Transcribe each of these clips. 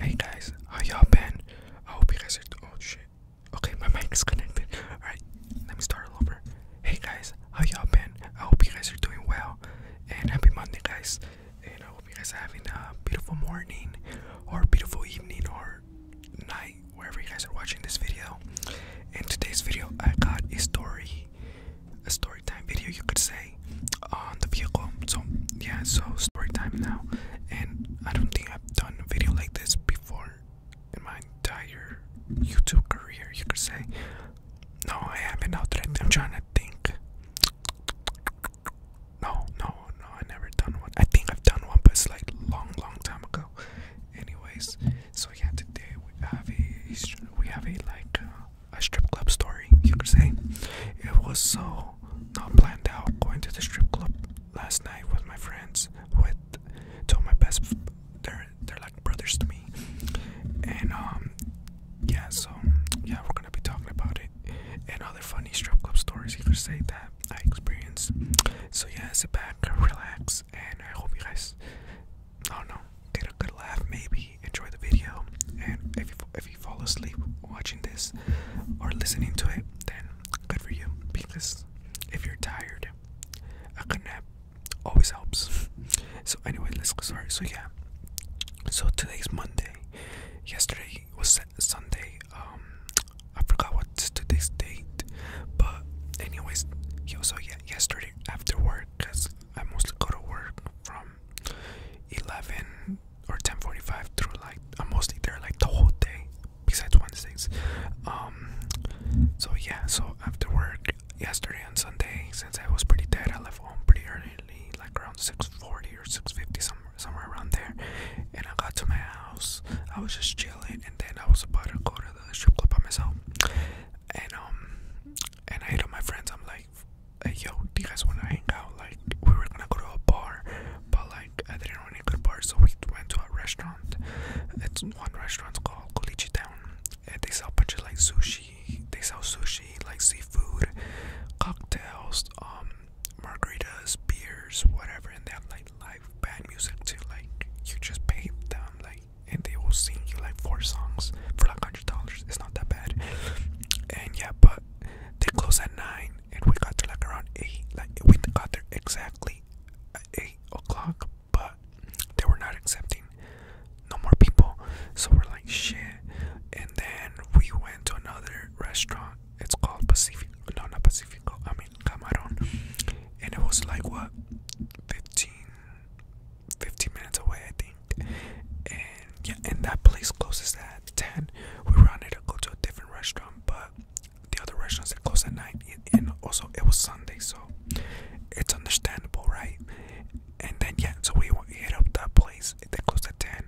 Hey guys, how y'all been? I hope you guys are. Oh Okay, my mic's connected. Alright, let me start over. Hey guys, how y'all been? I hope you guys are doing well. And happy Monday, guys. And I hope you guys are having a beautiful morning or beautiful evening or night, wherever you guys are watching this video. In today's video, I got a story a story time video you could say on the vehicle so yeah so story time now and i don't think i've done a video like this before in my entire youtube career you could say no i haven't out i'm trying to think no no no i never done one i think i've done one but it's like long long time ago anyways so yeah today we have a we have a like uh, a strip club story, you could say. It was so not planned out. Going to the strip club last night with my friends, with two of my best, they're they're like brothers to me. And um, yeah, so yeah, we're gonna be talking about it and other funny strip club stories. You could say that I experienced. So yeah, sit back, relax, and I hope you guys I do get a good laugh, maybe enjoy the video. And if you, if you fall asleep watching this or listening to it, then good for you. Because if you're tired, a good nap always helps. So anyway, let's go start. So yeah, so today's Monday. Yesterday was Sunday. Um, I forgot what's today's date, but anyways, yo, so yeah, yesterday after work, cause I mostly go to work from 11 or 10:45 through like I'm mostly there like the whole day besides Wednesdays. Um so yeah, so after work yesterday and Sunday since I was pretty dead, I left home pretty early, like around 6:40 or 6:50 somewhere somewhere around there. And I got to my house. I was just chilling and then I was about to go to the strip club by myself. And um and I hit up my friends. I'm like hey yo, do you guys wanna hang out? Like, we were gonna go to a bar, but like, I didn't know any good bar, so we went to a restaurant. It's one restaurant called Kulichi Town. And they sell a like sushi. They sell sushi, like seafood, cocktails, um, margaritas, beers, whatever. And they have like live bad music too. Like, you just pay them like and they will sing you like four songs for like hundred dollars. It's not that bad. And yeah, but they close at nine, and we got there like around eight. Like we got there exactly at eight o'clock, but they were not accepting no more people. So we're like shit. And then we went to another restaurant. It's called Pacific. No, not Pacifico. I mean Camarón, and it was like what, fifteen 15 minutes away, I think. And yeah, and that place closes at 10. We rounded to go to a different restaurant, but the other restaurants that closed at 9. And also, it was Sunday, so it's understandable, right? And then, yeah, so we, hit up that place that closed at 10.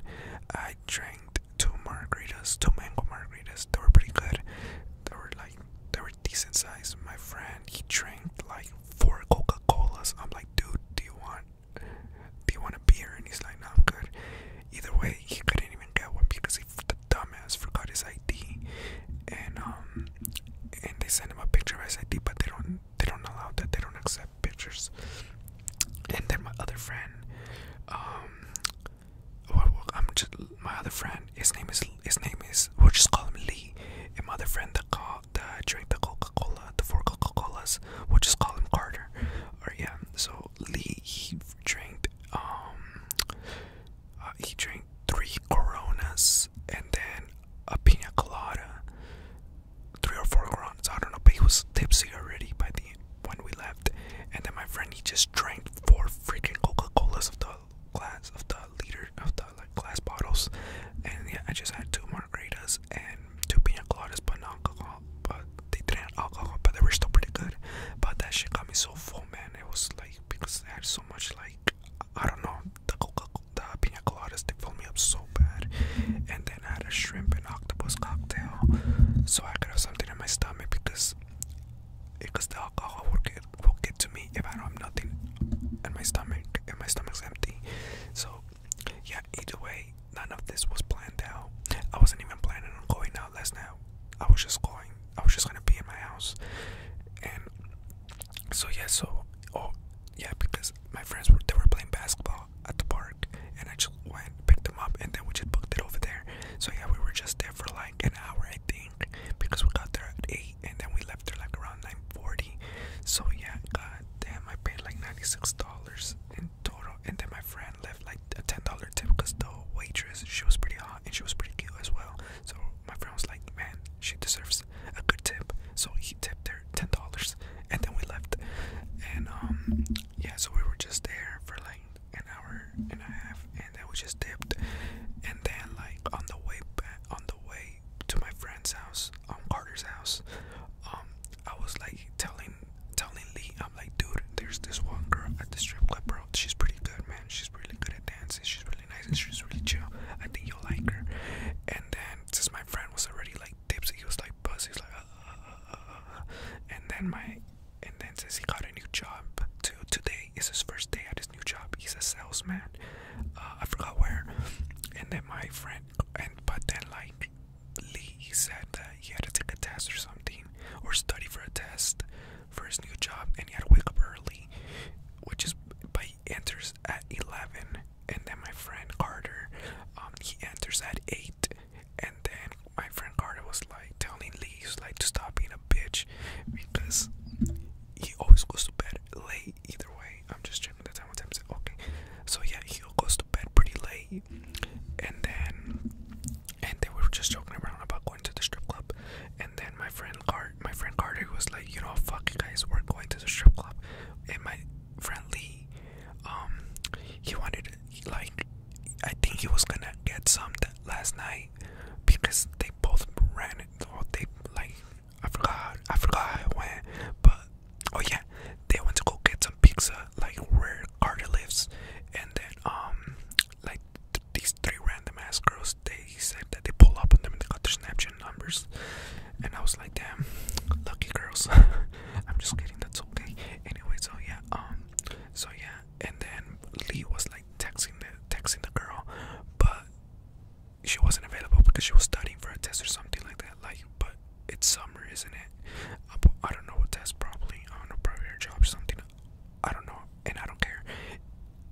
I drank two margaritas, two mango margaritas. They were pretty good. They were like, they were decent size, My friend, he drank like four Coca Colas. I'm like, dude, do you want, do you want a beer? And he's like, no, I'm good. Either way, he couldn't even get one because he, the dumbass, forgot his ID. And um, and they sent him a picture of his ID, but they don't, they don't allow that. They don't accept pictures. And then my other friend, um, I'm my other friend his name is his name is we'll just call him Lee. And my other friend that call drank the Coca-Cola, the four Coca-Colas, we'll just call him Carter. Or yeah, so Lee he drank um uh, he drank three coronas and then a pina colada. Three or four coronas, I don't know, but he was tipsy already by the when we left. And then my friend he just drank four freaking Coca-Colas of the glass of the liter of the glass bottles, and yeah, I just had two margaritas and two pina coladas, but not alcohol. But they didn't have alcohol, but they were still pretty good. But that shit got me so full, man. It was like because I had so much like I don't know the coca, the pina coladas they filled me up so bad, and then I had a shrimp and octopus cocktail, so I could have something in my stomach because because eh, the alcohol will get will get to me if I don't have nothing and my stomach and my stomach's empty. So yeah, either way, none of this was planned out. I wasn't even planning on going out last night. I was just going. I was just gonna be in my house, and so yeah, so oh yeah, because my friends were they were playing basketball at the park, and I just went picked them up, and then we just booked it over there. So yeah, we were just there for like an hour, I think think because we got there at eight and then we left there like around 9:40. So yeah, god damn, I paid like $96 in total. And then my friend left like a $10 tip because the waitress she was pretty hot and she was pretty cute as well. So my friend was like, man, she deserves a good tip. So he tipped her $10 and then we left. And um yeah, so we were just there for like an hour and a half, and that was just dipped. And then, like on the way back, on the way to my friend's house, um, Carter's house, um, I was like telling telling Lee, I'm like, dude, there's this one girl at the strip club, bro. She's pretty good, man. She's really good at dancing. She's really nice and she's really chill. I think you'll like her. And then since my friend was already like tipsy, he was like buzz. like, uh, uh, uh, and then my and then since he got a new job to today it's his first day at his new job. He's a salesman. Uh, I forgot where. And then my friend, and but then like Lee, said that he had to take a test or something, or study for a test for his new job, and he had to wake up early, which is, but enters at eleven. And then my friend Carter, um, he enters at eight, and then my friend Carter was like telling Lee, "He's like to stop being a bitch because he always goes to bed late either way. I'm just checking the time one time I said, okay. So yeah, he goes to bed pretty late and then and they were just joking around about going to the strip club and then my friend Cart my friend Carter was like, you know fuck you guys, we're going to the strip club and my friend Lee um he wanted like I think he was gonna get some last night because they both ran it or they like I forgot I forgot how went but oh yeah they went to go get some pizza like where Carter lives and then um like these three random ass girls they said that they pull up on them and they got their Snapchat numbers and I was like damn lucky girls I'm just kidding that's okay anyway so yeah um so yeah and then Lee was like texting the texting the girl, but she wasn't available because she was studying for a test or something like that. Like, but it's summer, isn't it? I don't know what test, probably I don't know, job or something. I don't know, and I don't care.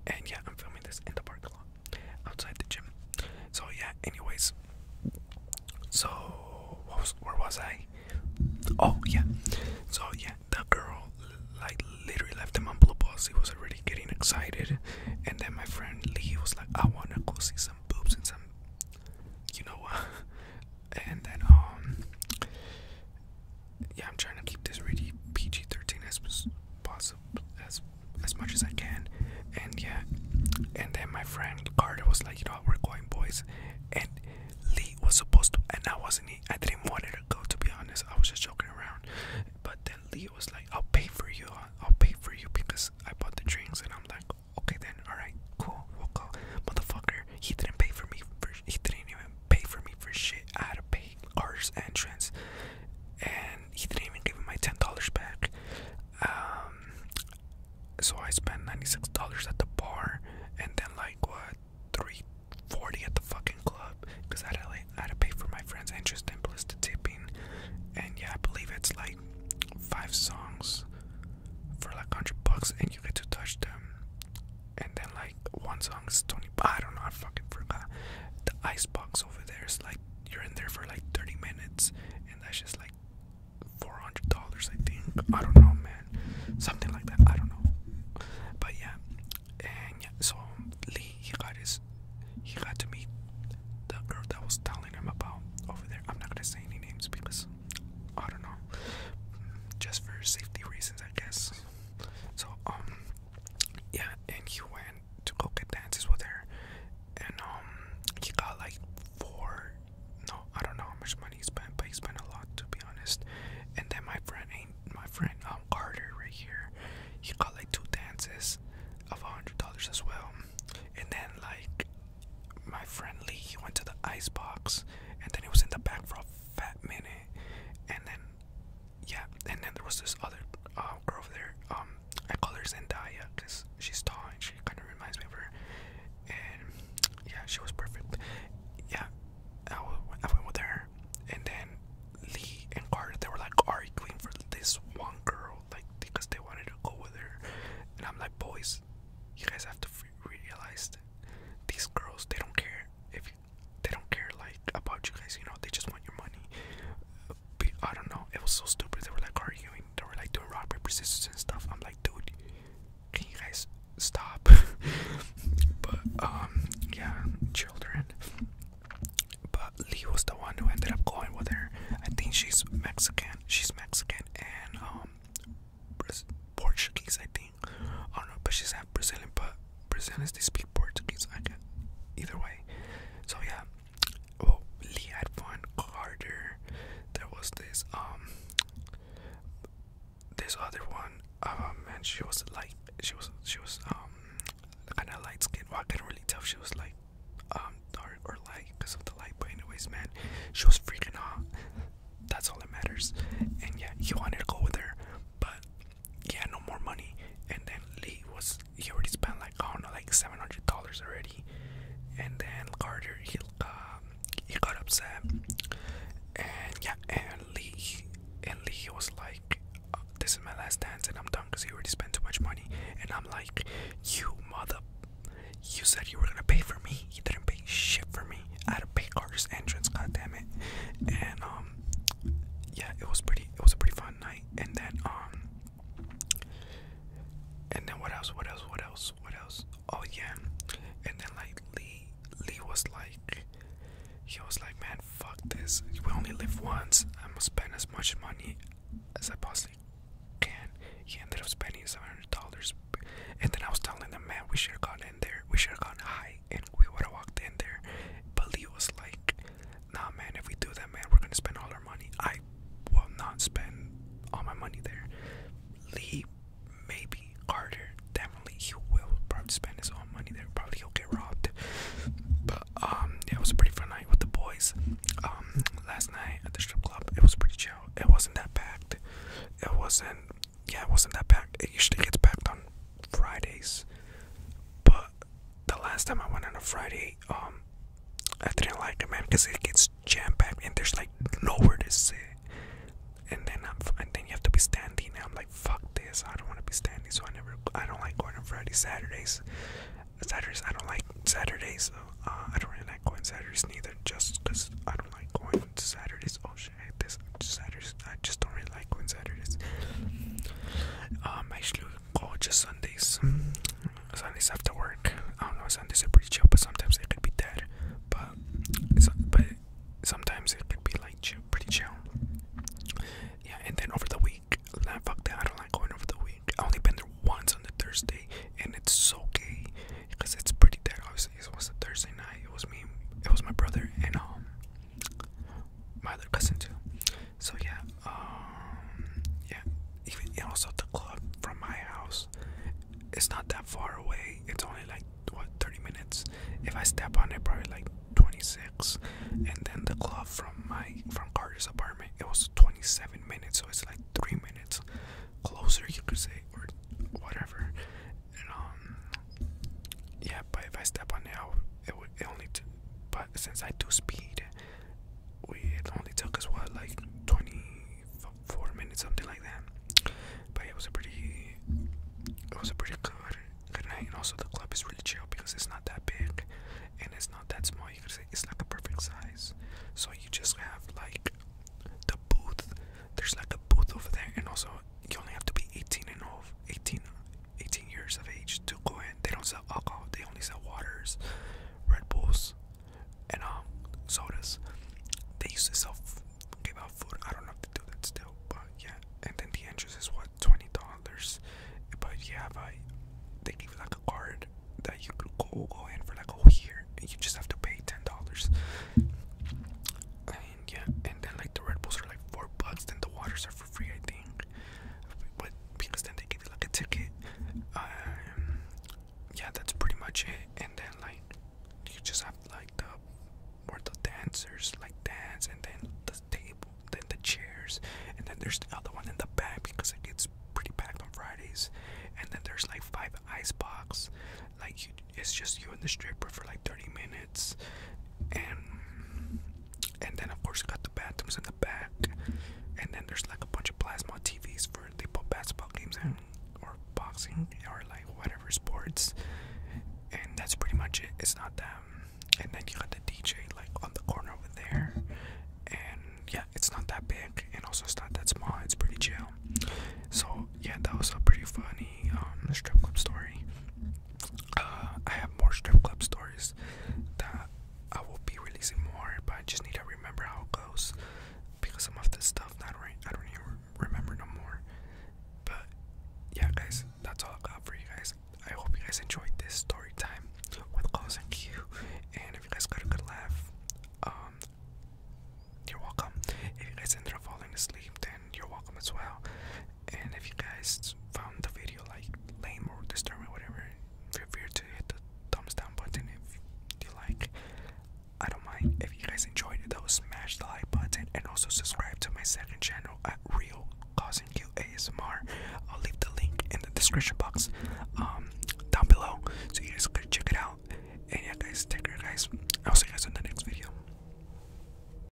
And yeah, I'm filming this in the parking lot outside the gym. So yeah, anyways. So where was I? Oh yeah. So yeah, the girl like literally left him on blue balls. He was already getting excited, and then my friend Lee was like, "I wanna go see some boobs and some, you know what?" And then um, yeah, I'm trying to keep this really PG-13 as possible, as as much as I can, and yeah, and then my friend Carter was like, "You know, what, we're going, boys," and Lee was supposed to, and I wasn't. I didn't want it to go. To be honest, I was just joking around. But then Lee was like, "I'll pay for you. Uh, I'll pay for you because I bought the drinks." And I'm like, "Okay then, all right, cool, we'll go." Motherfucker, he didn't pay for me. For, he didn't even pay for me for shit. I had to pay artist entrance, and he didn't even give me my ten dollars back. Um, so I spent ninety six dollars at the bar, and then like what three forty at the fucking club, because I had to I had to pay for my friend's interest and plus the tipping, and yeah, I believe it's like five songs for like hundred bucks, and you get to touch them, and then like one song is twenty. I don't know, I fucking forgot. The ice box over there is like you're in there for like thirty minutes, and that's just like four hundred dollars, I think. I don't know, man. Something like that. I don't know. But yeah, and yeah, so um, Lee he got his, he got to meet the girl that was telling him about over there. I'm not gonna say any names because I don't know, just for safety reasons, I guess. So um, yeah, and he went to go get dances with her, and um, he got like four no, I don't know how much money he spent, but he spent a lot to be honest. And then my friend ain't my friend um Carter right here. He got like two dances of a hundred dollars as well. And then like my friend Lee, he went to the ice box and then he was in the back for a fat minute. And then yeah, and then there was this other uh, girl over there. Um, I call her Zendaya because she's tall she kind of reminds me of her, and yeah, she was perfect. Yeah, I, went with her, and then Lee and Carter they were like arguing for this one girl, like because they wanted to go with her, and I'm like, boys, you guys have to realize that these girls they don't care if they don't care like about you guys, you know, they just want your money. I don't know, it was so stupid. They were like arguing they were like doing rock paper scissors and stuff. I'm like, dude, can you guys stop? but um, yeah, children. But Lee was the one who ended up going with her. I think she's Mexican. She's Mexican and um, Portuguese, I think. I don't know, but she's half Brazilian. But Brazilians they speak Portuguese. I get either way. So yeah, well, oh, Lee had one harder. There was this um this other one. Um, and she was like she was she was um kind of light skin. Well, I couldn't really tell she was like um dark or light because of the light. But anyways, man, she was freaking hot. That's all that matters. And yeah, he wanted to go with her, but he had no more money. And then Lee was he already spent like I don't know like seven hundred dollars already and then Carter he um, he got upset and yeah and Lee and Lee was like oh, this is my last dance and I'm done because he already spent too much money and I'm like you mother you said you were gonna pay for me He didn't pay shit for me I had to pay Carter's entrance god damn it and um yeah it was pretty it was a pretty fun night and then um and then what else? What else? What else? What else? Oh yeah. And then like Lee, Lee was like, he was like, man, fuck this. We only live once. I'm gonna spend as much money as I possibly can. He ended up spending seven hundred dollars. And then I was telling them, man, we should have gone in there. We should have gone high, and we would have walked in there. But Lee was like, nah, man, if we do that, man, we're gonna spend all our money. I I will not spend all my money there. Lee, maybe Carter, definitely he will probably spend his own money there. Probably he'll get robbed. But um, yeah, it was a pretty fun night with the boys. Um, last night at the strip club, it was pretty chill. It wasn't that packed. It wasn't. Yeah, it wasn't that packed. It usually gets packed on Fridays, but the last time I went on a Friday, um, I didn't like it, man, because it gets jam packed and there's like nowhere to sit. And then I'm, then you have to be standing. And I'm like, fuck this. I don't want to be standing, so I never. I don't like going on Friday, Saturdays. Saturdays, I don't like Saturdays. so uh, I don't really like going Saturdays neither, just because I don't like going on Saturdays. Oh shit, I hate this Saturdays. I just don't really like going Saturdays. Um, actually, Oh, just Sundays. Sundays after work. I don't know. Sundays are pretty chill, but sometimes it could be dead. But but sometimes it could be like chill, pretty chill. Yeah, and then over the week, fuck that. I don't like going over the week. I only been there once on the Thursday, and it's so gay because it's pretty dead. Obviously, it was a Thursday night. It was me. It was my brother and um my other cousin too. So yeah, um, yeah. also the club from my house, it's not that far away. It's only like what 30 minutes. If I step on it, probably like 26. And then the club from my from Carter's apartment, it was 27 minutes. So it's like three minutes closer, you could say, or whatever. Um, yeah. But if I step on it, I it would it only. T but since I do speed we it only took us what like 24 minutes something like that but it was a pretty it was a pretty good and also the club is really chill because it's not that big and it's not that small you could say it's like a perfect size so you just have like the booth there's like a booth over there and also you only have to be 18 and over 18 18 years of age to go in. They don't sell alcohol. They only sell waters, Red Bulls, and um, sodas. They used to sell give out food. I don't know if they do that still, but yeah. And then the entrance is what twenty dollars. But yeah, they give you like a card that you can go go in for like a whole year, you just have to pay ten dollars. I yeah, and then like the Red Bulls are like four bucks, then the waters are free free, I think. But because then they give you like a ticket. Um, yeah, that's pretty much it. And then like you just have like the where the dancers like dance, and then the table, then the chairs, and then there's the other one in the back because it gets pretty packed on Fridays. And then there's like five ice box, like you, it's just you and the stripper for like 30 minutes and and then of course you got the bathrooms in the back, and then there's like a bunch of plasma TVs for they put basketball games in or boxing or like whatever sports, and that's pretty much it. It's not that, and then you got the DJ like on the corner over there, and yeah, it's not that big, and also it's not that small. It's pretty chill. So yeah, that was a pretty funny um, strip club story. I have more strip club stories that I will be releasing more, but I just need to remember how it goes because some of this stuff I do I don't even remember no more. But yeah, guys, that's all I got for you guys. I hope you guys enjoyed this story time with Close and Q. And if you guys got a good laugh, um, you're welcome. If you guys end up falling asleep, then you're welcome as well. And if you guys found the video like lame or disturbing whatever, feel free to hit the thumbs down button if you like. I don't mind if you guys enjoyed it though smash the like button and also subscribe to my second channel at Real and Q ASMR. I'll leave the link in the description box um, down below so you guys could check it out. And yeah guys take care guys. I'll see you guys in the next video.